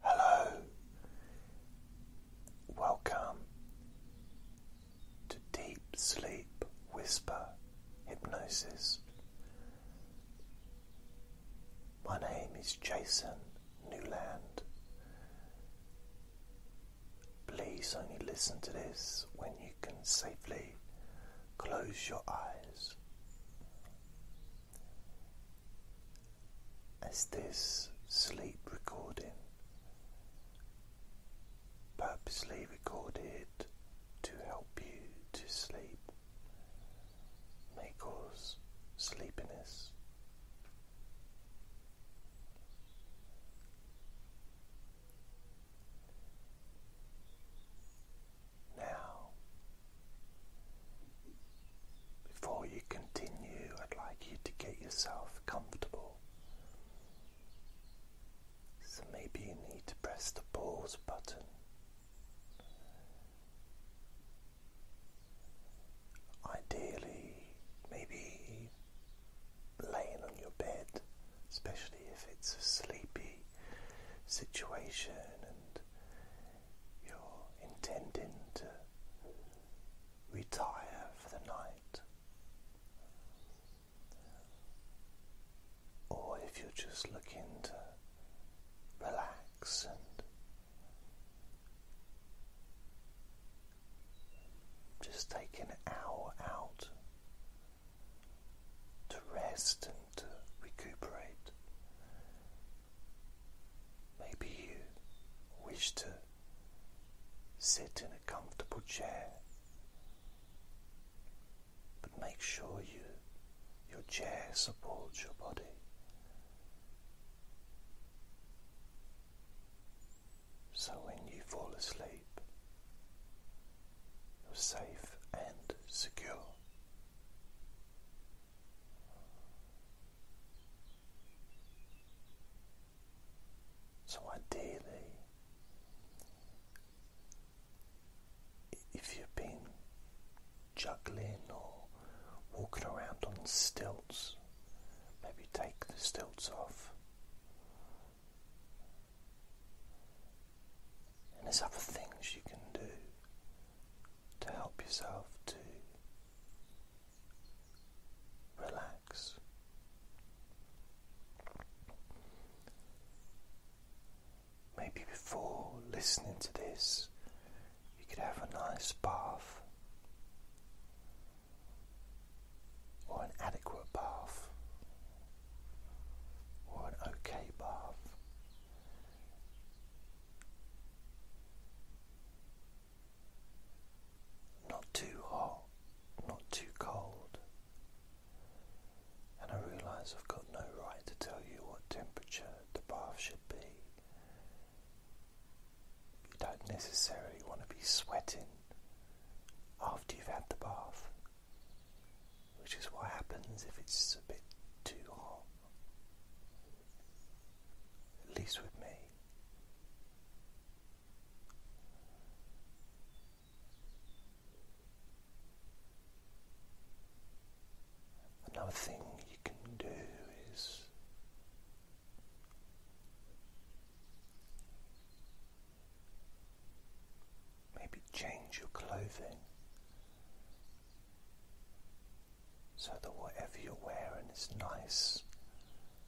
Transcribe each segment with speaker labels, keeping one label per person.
Speaker 1: Hello, welcome to Deep Sleep Whisper Hypnosis. My name is Jason Newland. Please only listen to this when you can safely close your eyes as this sleep recording, purposely recorded to help you to sleep, may cause sleepiness. Now before you continue, I'd like you to get yourself comfortable. So maybe you need to press the pause button. Ideally, maybe laying on your bed, especially if it's a sleepy situation and you're intending to retire for the night, or if you're just looking to relax and just take an hour out to rest and to recuperate Maybe you wish to sit in a comfortable chair, but make sure you, your chair supports your body. So when you fall asleep, you're safe and secure. So, ideally, if you've been juggling or walking around on stilts, maybe take the stilts off. And there's other things you can do to help yourself to relax. Maybe before listening to this, you could have a nice bath or an adequate bath or an okay bath. Not too hot, not too cold. And I realise I've got no right to tell you what temperature the bath should be. You don't necessarily want to be sweating after you've had the bath, which is what happens if it's a bit too hot at least with me. Another thing you can do is maybe change your clothing so that whatever you're wearing is nice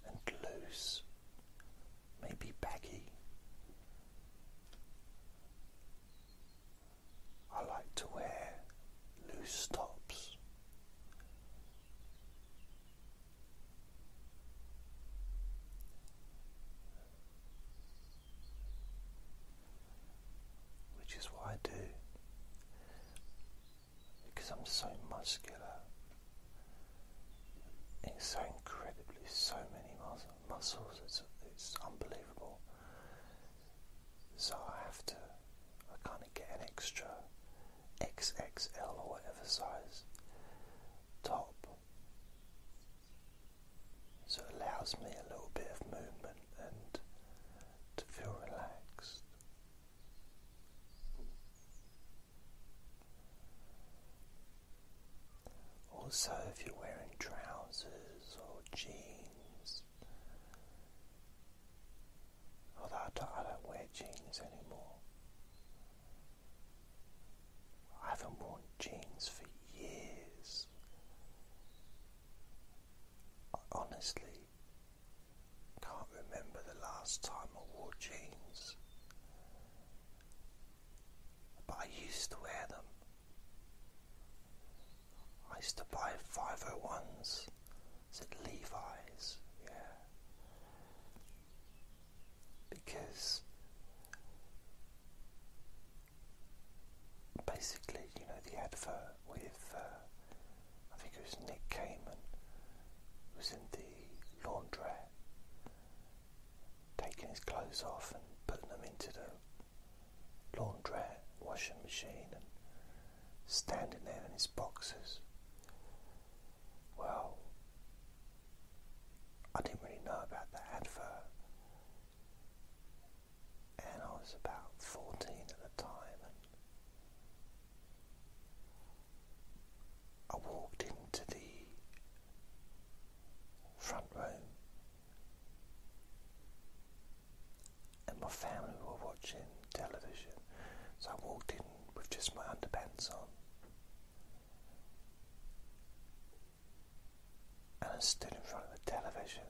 Speaker 1: and loose, maybe baggy. I like to wear loose tops. Which is what I do because I'm so muscular in so incredibly so many muscles. It's it's unbelievable. So I have to, I kind of get an extra XXL or whatever size top. So it allows me a little bit of movement and to feel relaxed. Also, if you're wearing trousers or jeans, although I don't, wear jeans anymore, I haven't worn jeans for years. Honestly, can't remember the last time I wore jeans, but I used to wear them. I used to buy 501s, is it Levi's? Yeah. Because basically, you know, the advert with uh, I think it was Nick Who was in the laundrette, taking his clothes off and putting them into the laundrette washing machine and standing there in his boxes. Well, I didn't really know about that advert. And I was about 14 at the time, I walked into the front room and my family were watching television, so I walked in with just my underpants on. And I stood in front of the television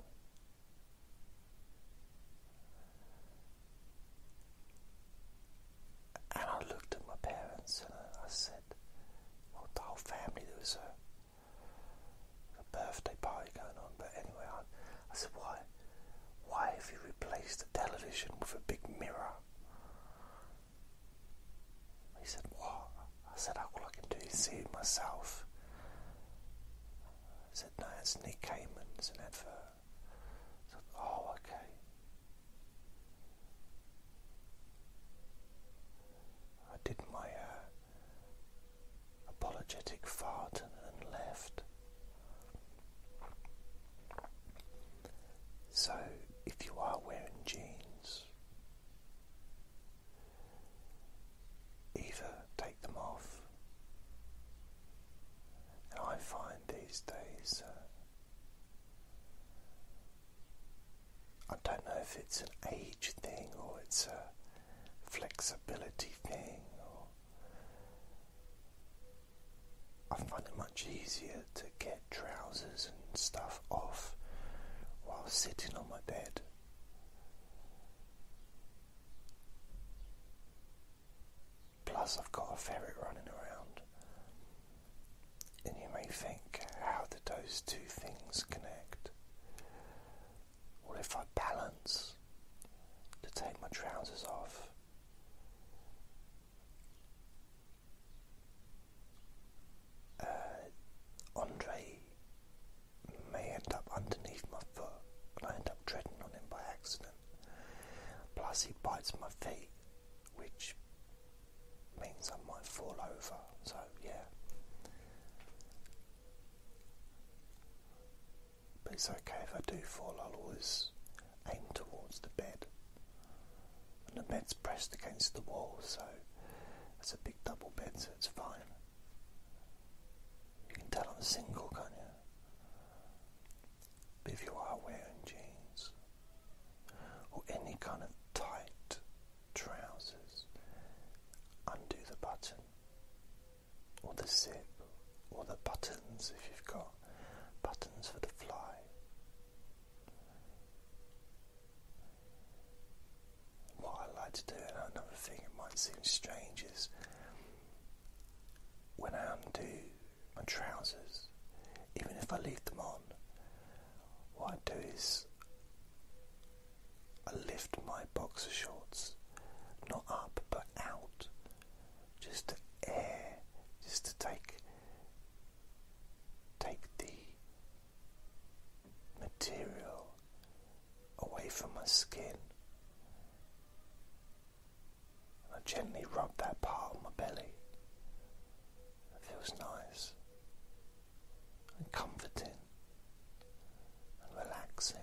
Speaker 1: and I looked at my parents and I said, well, the whole family, there was a, birthday party going on, but anyway, I, I said, why, why have you replaced the television with a big mirror? He said, what? I said, all I can do is see it myself. He said, no, it's Nick Cayman, it's an advert. So, oh, okay. I did my uh, apologetic fart and left. So, if you are wearing jeans, either take them off and I find these days, uh, I don't know if it's an age thing or it's a flexibility thing, or I find it much easier to get trousers and stuff off while sitting on my bed. Plus, I've got a ferret running around. And you may think, how do those two things connect? Or if I balance to take my trousers off, uh, Andre may end up underneath my foot and I end up treading on him by accident. Plus, he bites my feet, which means I might fall over. So, yeah. But it's okay if I do fall, I'll always aim towards the bed. And the bed's pressed against the wall, so it's a big double bed, so it's fine. You can tell I'm single, can't you? if you are wearing jeans or any kind of tight trousers, undo the button or the zip or the buttons if you've got buttons for the fly. What I like to do, and another thing that might seem strange, is when I undo my trousers, even if I leave them on, what I do is I lift my boxer shorts, not up but out, just to air, just to take take the material away from my skin and I gently rub that part of my belly. It feels nice and comforting and relaxing.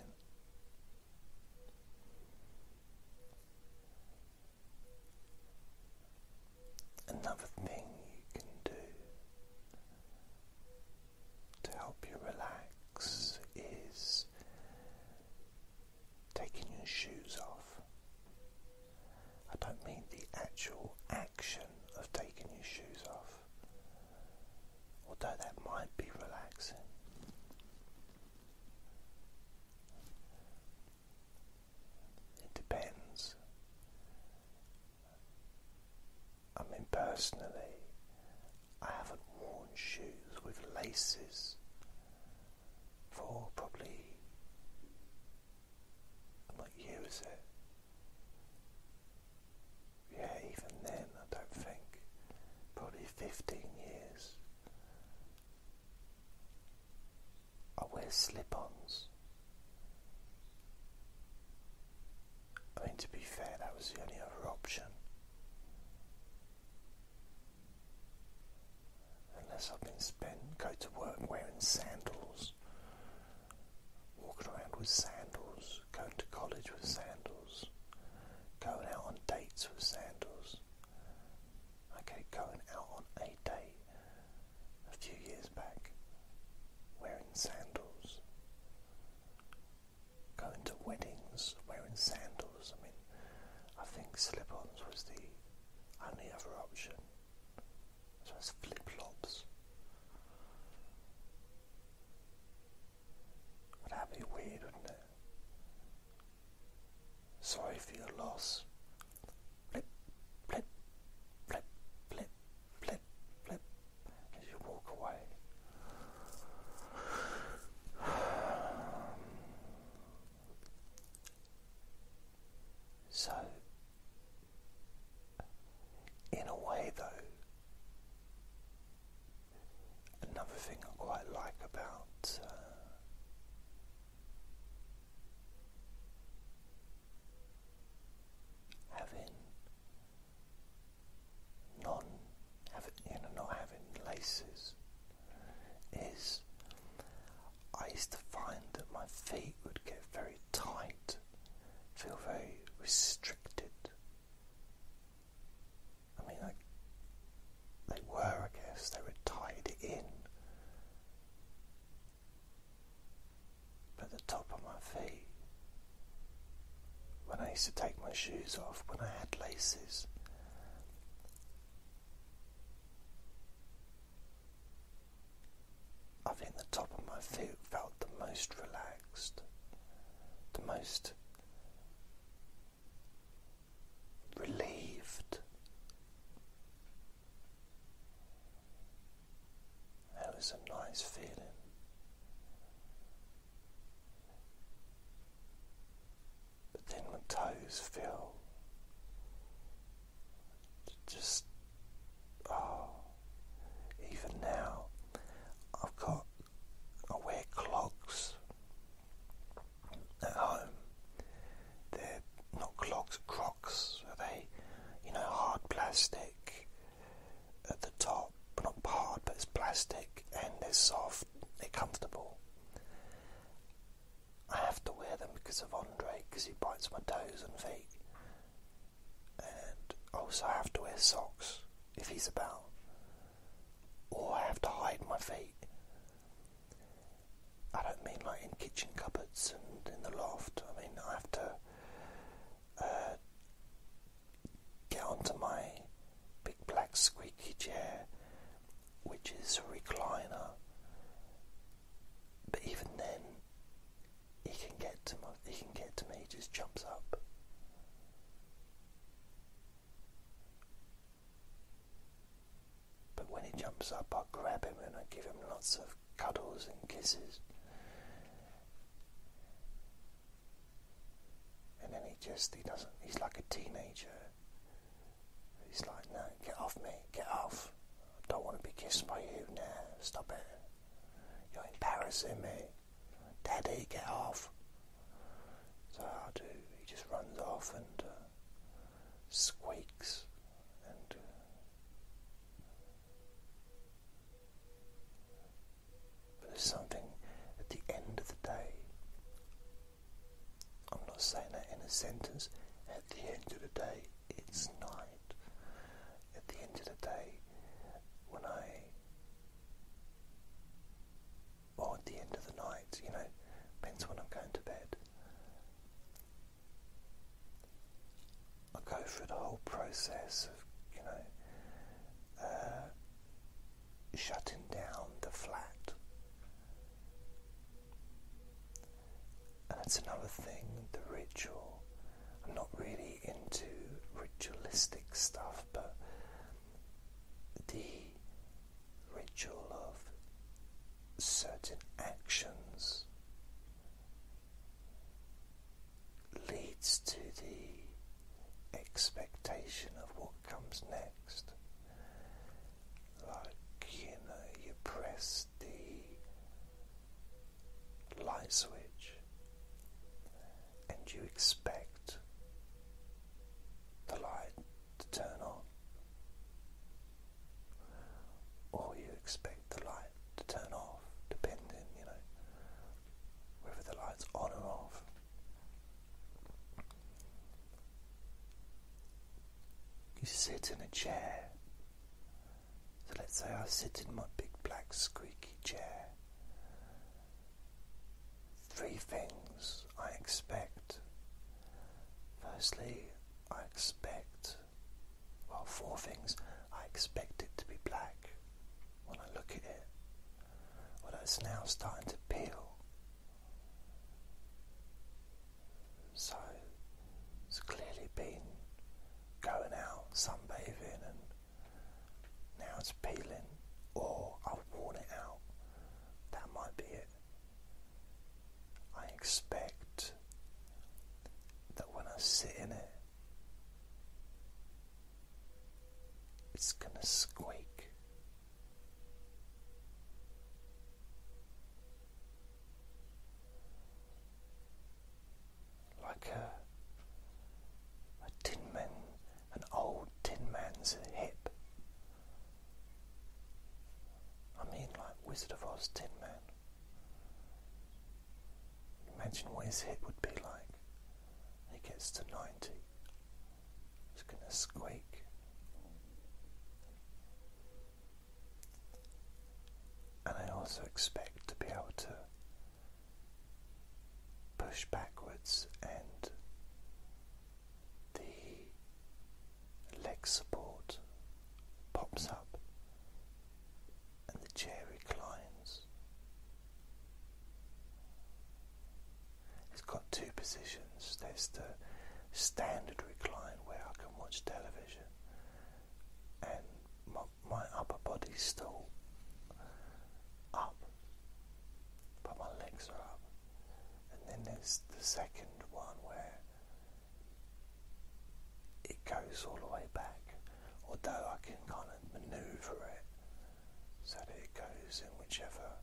Speaker 1: Another thing you can do to help you relax is taking your shoes off. I don't mean the actual action of taking your shoes off, although that might be relaxing. It depends. I mean, personally, I haven't worn shoes with laces for probably what year is it? Yeah, even then, I don't think. Probably 15 years. I wear slip ons. I mean, to be fair, that was the only other option. Unless I've been spent, go to work wearing sandals, walking around with sandals, going to college with sandals, going out on dates with sandals. Okay, going out on a date a few years back, wearing sandals, going to weddings wearing sandals. I mean, I think slip ons was the only other option. So it's flip flops. Well, that be weird, wouldn't it? Sorry for your loss. Flip, flip, flip, flip, flip, flip, as you walk away. Um, so, in a way, though, another thing I quite like about. Uh, having non having, you know, not having laces is I used to find that my feet would get very tight, feel very restricted. I mean, like, they were, I guess, they were tied in. At the top of my feet, when I used to take my shoes off, when I had laces, I think the top of my feet felt the most relaxed, the most relieved. That was a nice feeling but then my toes feel just oh even now I've got I wear clogs at home. They're not clogs, crocs. Are they? You know, hard plastic at the top, but not hard, but it's plastic, and it's soft they're comfortable. I have to wear them because of Andre, because he bites my toes and feet. And also, I have to wear socks if he's about, or I have to hide my feet. I don't mean like in kitchen cupboards and in the loft. I mean I have to uh, get onto my big black squeaky chair, which is a recliner. But even then, he can get to my, he can get to me. He just jumps up. But when he jumps up, I grab him and I give him lots of cuddles and kisses. And then he just, he doesn't, he's like a teenager. He's like, no, get off me, get off. I don't want to be kissed by you now. Stop it. You're embarrassing me. Daddy, get off. So I do. He just runs off and uh, squeaks uh, but there's something at the end of the day I'm not saying that in a sentence. At the end of the day, it's night. At the end of the day, when I. or at the end of the night, you know, depends when I'm going to bed. I go through the whole process of, you know, uh, shutting down the flat. And it's another thing, the ritual. I'm not really into ritualistic stuff, but the ritual of certain actions leads to the expectation of what comes next like you know, you press the light switch and you expect the light to turn on, or you expect the light to turn off, depending, you know, whether the light's on or off. You sit in a chair. So let's say I sit in my big black squeaky chair. Three things I expect. Firstly, I expect, well, four things. I expect it to be black when I look at it. Well, it's now starting to peel so it's clearly been going out, sunbathing, and now it's peeling, or I've worn it out. That might be it. I expect that when I sit in it, it's gonna squeak like a, a tin man, an old tin man's hip. I mean, like Wizard of Oz Tin Man. Imagine what his hip would be like. He gets to 90. It's going to squeak. And I also expect to be able to push backwards and the leg support pops up and the chair reclines. It's got two positions. There's the standard recline where I can watch television, and my, upper body's still up, but my legs are up. And then there's the second one where it goes all the way back, although I can kind of maneuver it so that it goes in whichever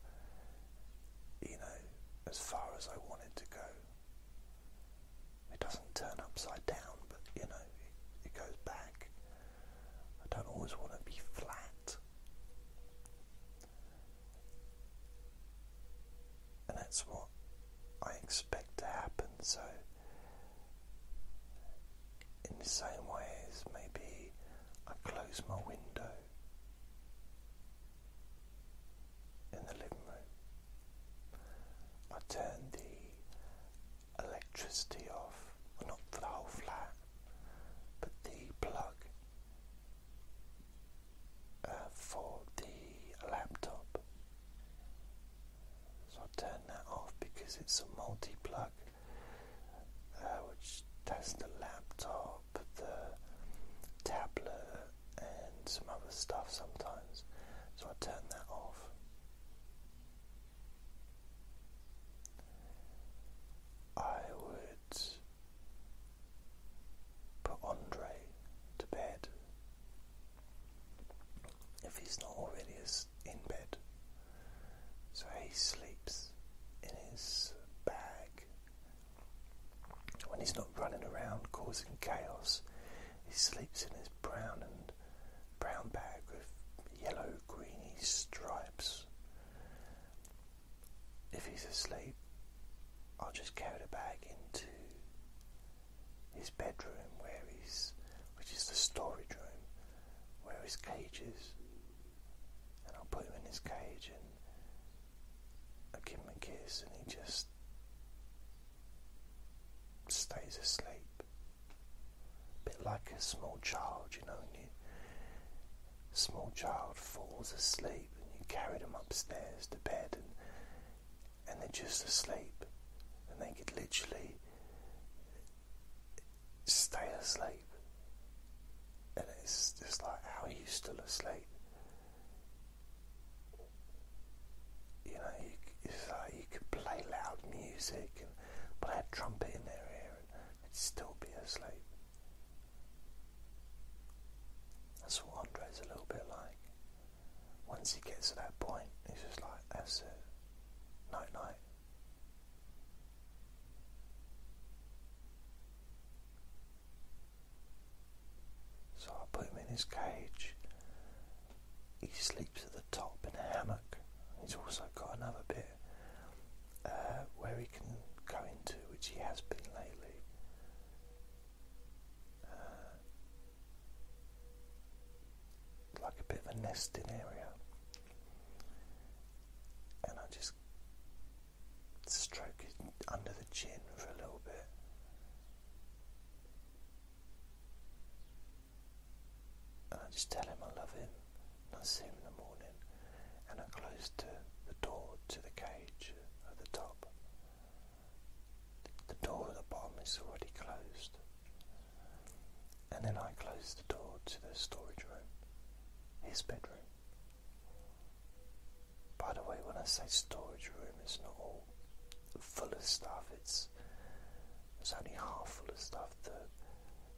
Speaker 1: you know, as far as I wanted to go. It doesn't turn upside down, but you know, it, goes back. I don't always want to be flat. And that's what I expect to happen. So, in the same ways, maybe I close my window in the living room. I turned the electricity off, not for the whole flat, but the plug uh, for the laptop. So I turned that off because it's a multi plug uh, which does the laptop laptop, the tablet, and some other stuff sometimes. So I turn that off. I would put Andre to bed if he's not already in bed. So he sleeps in his bag when he's not running around causing chaos, he sleeps in his brown and brown bag with yellow greeny stripes. If he's asleep, I'll just carry the bag into his bedroom where he's which is the storage room where his cages, and I'll put him in his cage and I give him a kiss and he just stays asleep. A bit like a small child, you know, small child falls asleep and you carry them upstairs to bed and and they're just asleep and they could literally stay asleep. And it's just like how you still asleep you know, you, could play loud music and play I trumpet in their ear and they'd still be asleep. That's what Andre's a little bit like. Once he gets to that point, he's just like, that's it, night night. So I put him in his cage. He sleeps at the top in a hammock. He's also got another bit uh, where he can go into, which he has been lately. Uh, like a bit of a nesting area. And I just stroke it under the chin for a little bit. And I just tell him I love him, and I see him in the morning, and I close the, the door to the cage at the top. The door at the bottom is already closed. And then I close the door to the storage room, his bedroom. By the way, when I say storage room, it's not all full of stuff. It's it's only half full of stuff. The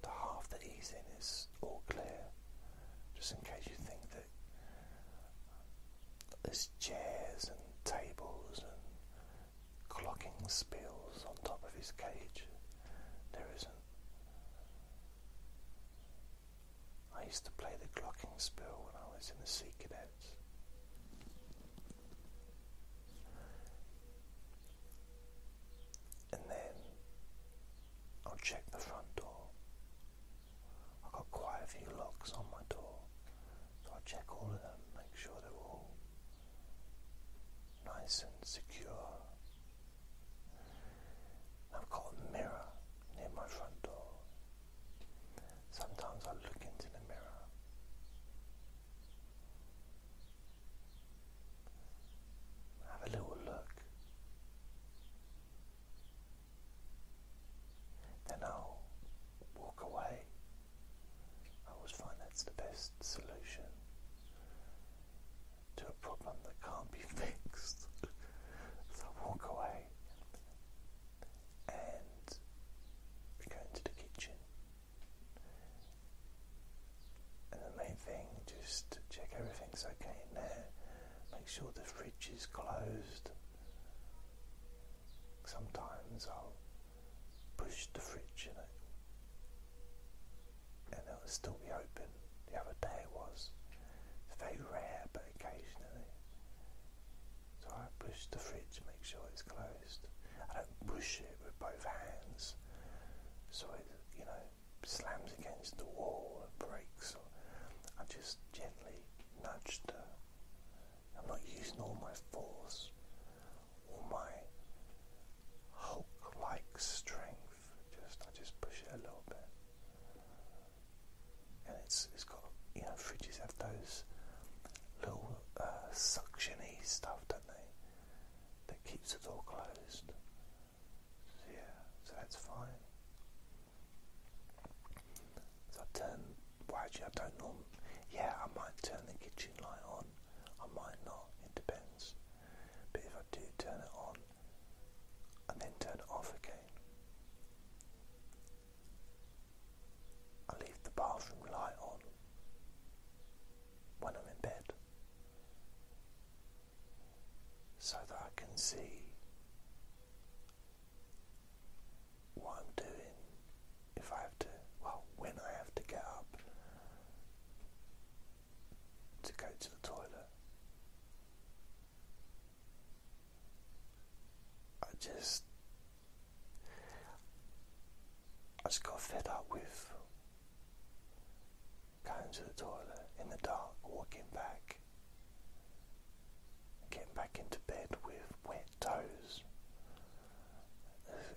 Speaker 1: the half that he's in is all clear. Just in case you think that there's chairs and tables and clocking spills on top of his cage, there isn't. I used to play the clocking spill when I was in the Sea Cadets. And then I'll check the front door. I've got quite a few locks on my door, so i check all of them, make sure they're all nice and secure. I've got a mirror near my front door, Sometimes I look into the mirror have a little look then I'll walk away I always find that's the best solution to a problem that can't be fixed so I walk away and we go into the kitchen. And the main thing, just check everything's okay there. Make sure the fridge is closed. Sometimes I'll push the fridge in it, and it'll still be open. The other day it was, it's very rare, but occasionally. So I push the fridge, make sure it's closed. I don't push it with both hands, so it, you know, slams against the wall or breaks. Or I just gently nudge the. I'm not using all my force, all my Hulk-like strength. Just I just push it a little bit and it's it's got you know fridges have those little uh, suctiony stuff, don't they? That keeps the door closed. yeah, so that's fine. So I turn. actually, I don't normally. Yeah, I might turn the kitchen light on. I might not. It depends. But if I do turn it on, and then turn it off again. I leave the bathroom light on when I'm in bed so that I can see what I'm doing if I have to, well, when I have to get up to go to the toilet. I just I just got fed up with going to the toilet in the dark, walking back, getting back into bed with wet toes.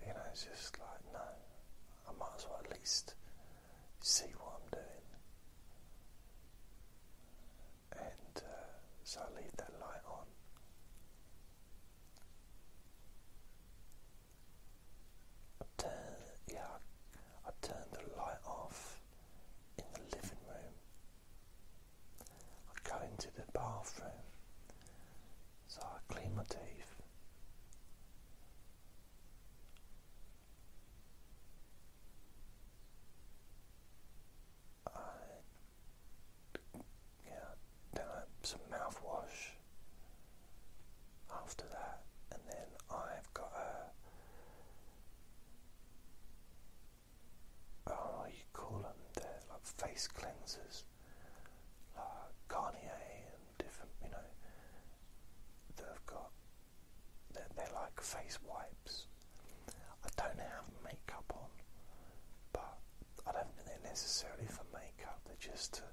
Speaker 1: You know, it's just like, no, I might as well at least see what I'm doing and uh, so I'll leave that light on. I turn, yeah, I, I the light off in the living room. I go into the bathroom, so I clean my teeth. Uh, yeah, then some mouthwash after that, and then I've got a oh, you call them? they like face cleansers, like Garnier and different, you know. They've got they're, like face wipes. I don't have makeup on, but I don't think they're necessarily for makeup, they're just to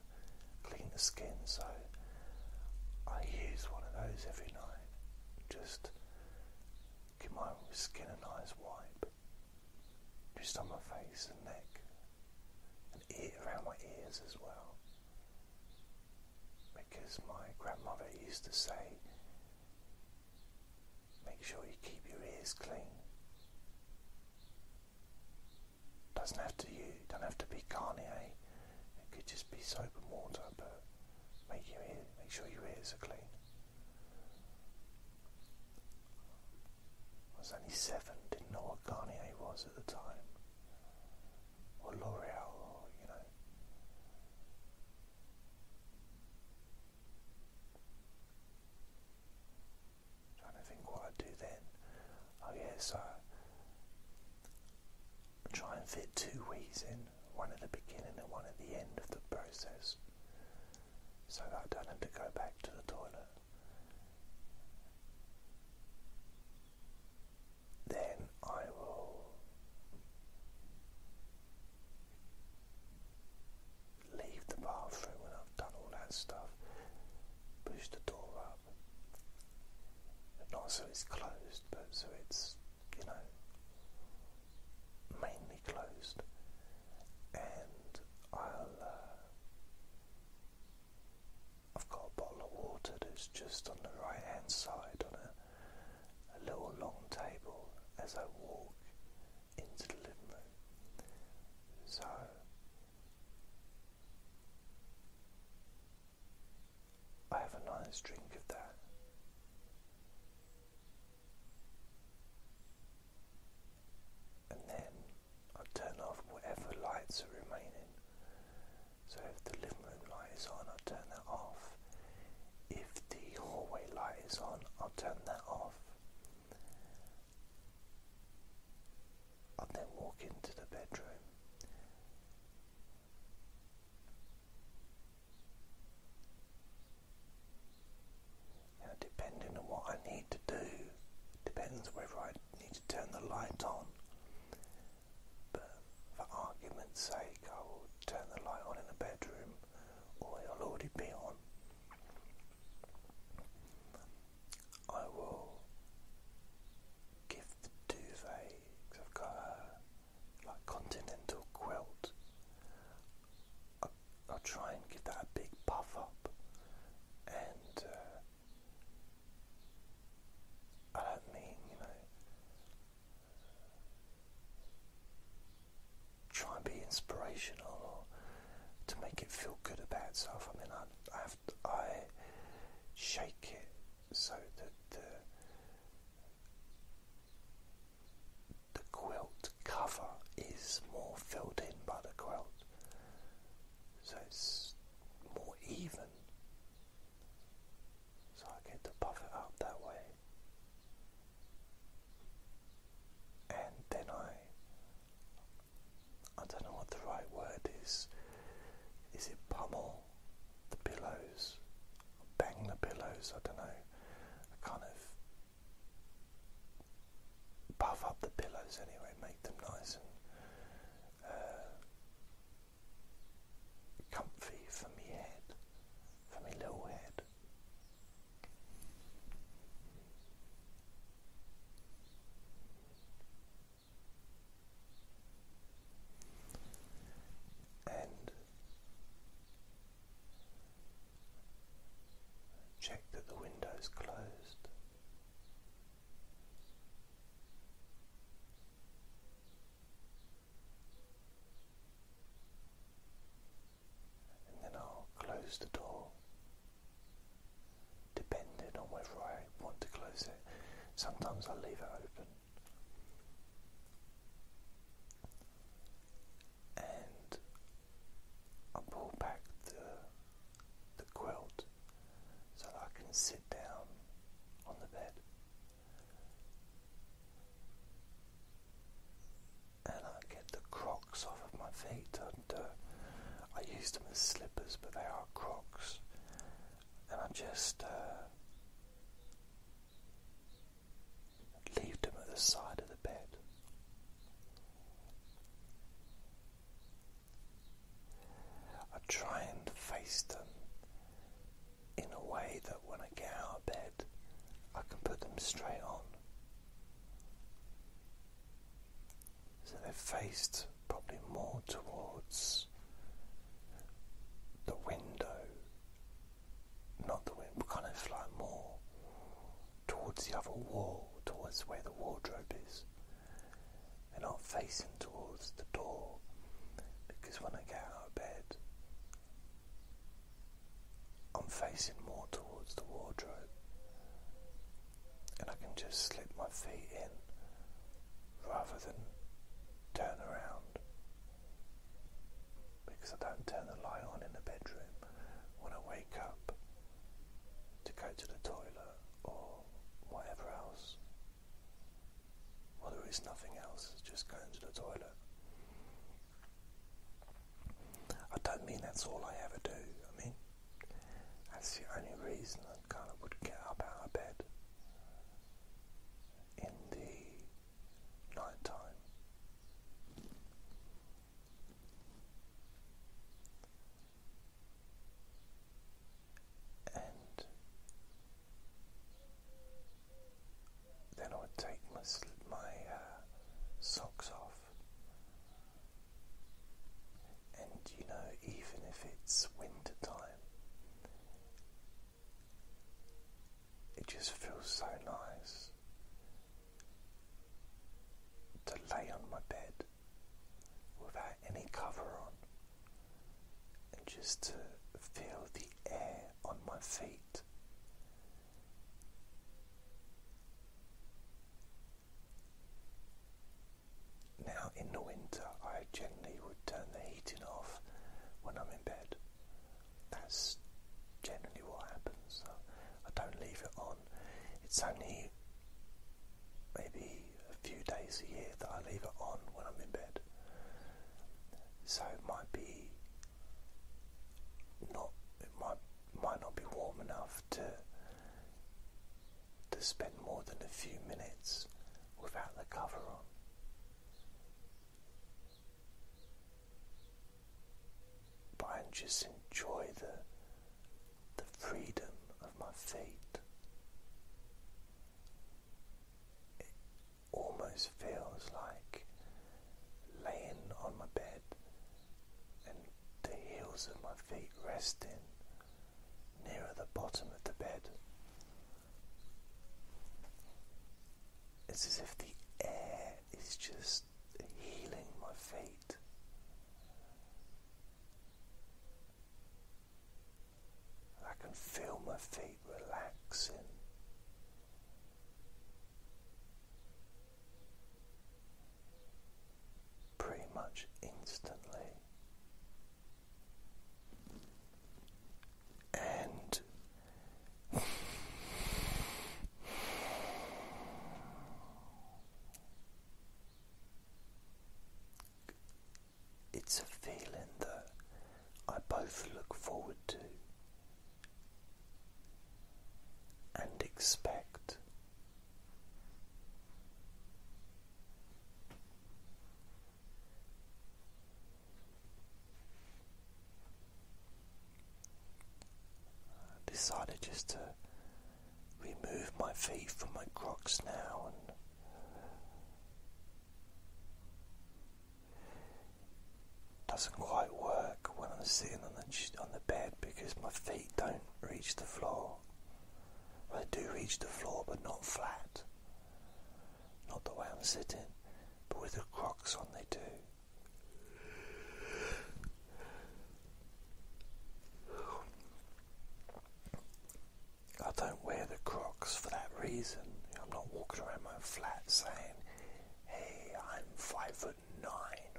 Speaker 1: clean the skin. So I use one of those every night, just give my skin and eyes wipe, just on my face and neck, and ear, around my ears as well. Because my grandmother used to say, Make sure you keep your ears clean. Doesn't have to you don't have to be Garnier. It could just be soap and water, but make your ear, make sure your ears are clean. I was only seven, didn't know what Garnier was at the time, or L'Oreal, or you know. Trying to think what i do then. Oh yeah, so try and fit two Wii's in, one at the beginning and one at the end of the process, so that I don't have to go back to the toilet. Then I will leave the bathroom when I've done all that stuff, push the door up, not so it's closed, but so it's, you know, mainly closed, and i have uh, got a bottle of water that's just on the right hand side on a a little long table as I walk into the living room. So I have a nice drink of that. And then I turn off whatever lights are remaining. So if the living room light is on, I turn that off. If the hallway light is on, I'll turn that off. I'll then walk into the bedroom. depending on what I need to do, depends whether I need to turn the light on. But for argument's sake, I will turn the light on in the bedroom it'll already be on. I will give the duvet, I've got a like continental quilt. I'll, try and give that a big puff up, and uh, I don't mean you know try and be inspirational to make it feel good about itself. I mean, I, I, have, I shake it so that the, the quilt cover is more filled in by the quilt, so it's more even. So I get to puff it up that way and then I I don't know what the right word is. Is it pummel the pillows? Bang the pillows, I don't know. I kind of puff up the pillows anyway, make them nice and uh, comfy for me head, for my low head and check that the window's closed. And then I'll close the door, depending on whether I want to close it. Sometimes I leave it open. And I pull back the the quilt so I can sit down on the bed and I get the crocs off of my feet. And, uh, I use them as slippers, but they are crocs, and I just uh, leave them at the side of the bed. I try and face them in a way that when I get out of bed, I can put them straight on. So they're faced probably more towards the window, not the window, kind of like more towards the other wall, towards where the wardrobe is. They're not facing towards the door because when I get out of bed, I'm facing more towards the wardrobe, and I can just slip my feet in rather than turn around because I don't turn the light on in the bedroom when I wake up to go to the toilet or whatever else. Well, there is nothing else, just going to the toilet. I don't mean that's all I ever do. I mean, that's the only reason I kind of would get up out of bed in the night And then I would take my my uh, socks off, and you know, even if it's winter time, it just feels so nice to lay on my bed without any cover on, and just to feel the air on my feet. Now, in the winter, I generally would turn the heating off when I'm in bed. That's generally what happens. I don't leave it on. It's only maybe a few days a year that I leave it on when I'm in bed. So it might be not it might might not be warm enough to to spend more than a few minutes without the cover on. But I just enjoy the the freedom of my feet almost feels like laying on my bed and the heels of my feet resting nearer the bottom of the bed. It's as if the air is just healing my feet. I can feel my feet relaxing pretty much instantly. And it's a feeling that I both look forward to and expect. decided just to remove my feet from my crocs now doesn't quite work when I'm sitting on the bed because my feet don't reach the floor. I do reach the floor, but not flat. Not the way I'm sitting, but with the Crocs on, they do. I don't wear the Crocs for that reason. I'm not walking around my flat saying, hey, I'm five foot nine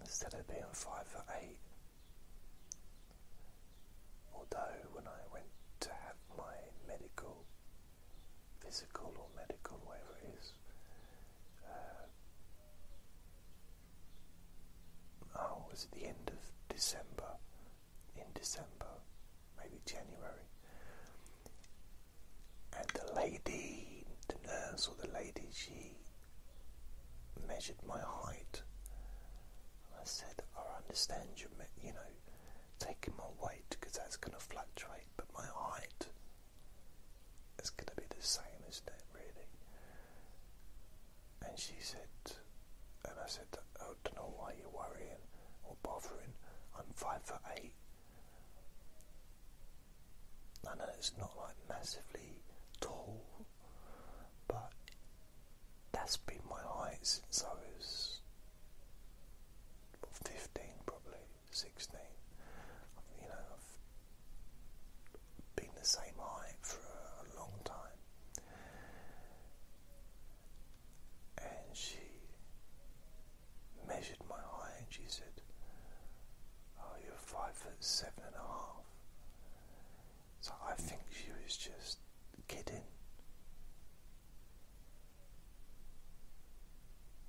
Speaker 1: instead of being five foot eight. Although when I went to have my medical, physical or medical, whatever it is, uh, oh, was at the end of December, in December, maybe January, and the lady, the nurse or the lady, she measured my height. I said, I understand you, you know, taking my weight because that's going to fluctuate, but my height is going to be the same, as that, really? And she said, and I said, I don't know why you're worrying or bothering. I'm five foot eight. I know it's not like massively tall, but that's been my height since I was 15, probably 16. You know, I've been the same height for a, long time, and she measured my height, and she said, "Oh, you're five foot seven and a half." So I think she was just kidding.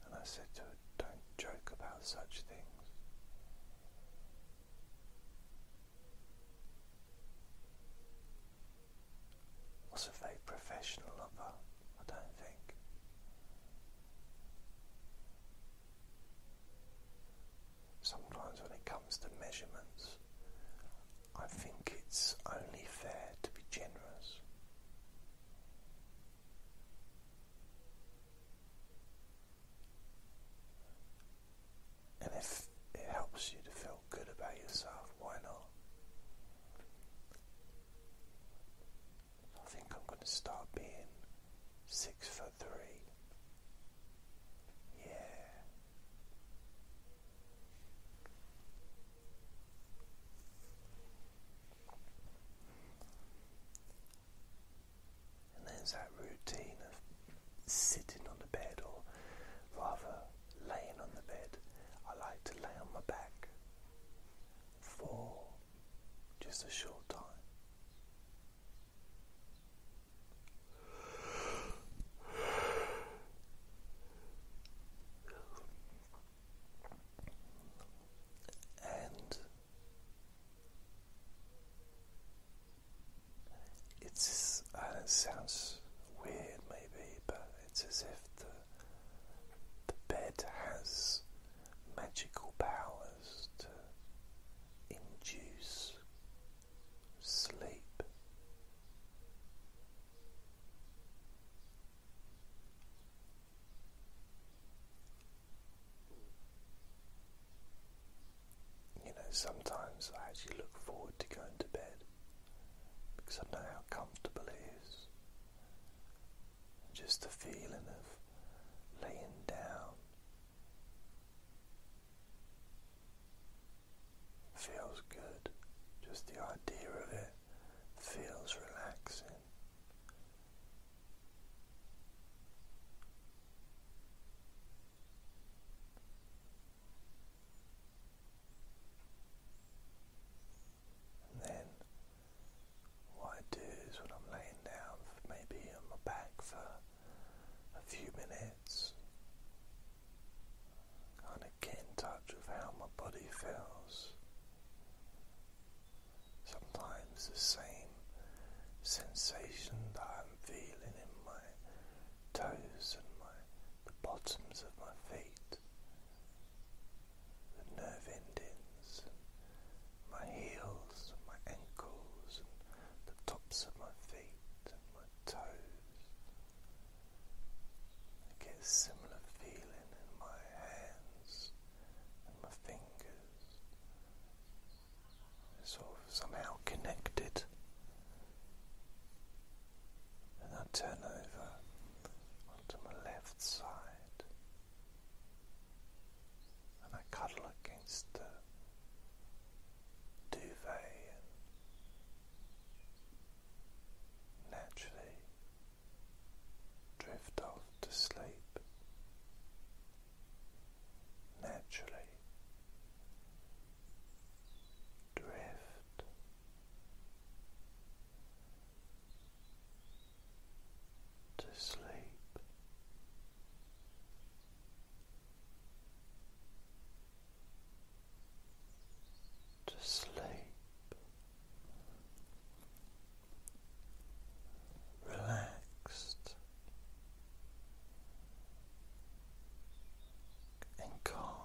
Speaker 1: And I said to her, Don't joke about such things. was a very professional lover, I don't think. Sometimes, when it comes to measurements, I think it's only fair to be generous. And if it helps you to feel good about yourself, why not? I think I'm going to start being six foot three. Yeah. And there's that routine of sitting on the bed, or rather laying on the bed. I like to lay on my back for just a short time. And uh, it sounds weird maybe, but it's as if the bed has magical powers to induce sleep. You know, sometimes I actually look forward to going to bed because I know how comfortable it is just the feeling of laying down feels good, just the idea of it feels relaxing. then what I do is when I'm laying down, maybe on my back for a few minutes, kind of get in touch with how my body feels. Sometimes the same sensation that I'm feeling in my toes and my the bottoms of my feet the nerve endings, my heels, and my ankles, and the tops of my feet, and my toes. I get a similar feeling in my hands and my fingers. sort of somehow connected. And I turn over onto my left side and I cuddle against the duvet and naturally drift off to sleep. Naturally drift to sleep. To sleep, relaxed and calm.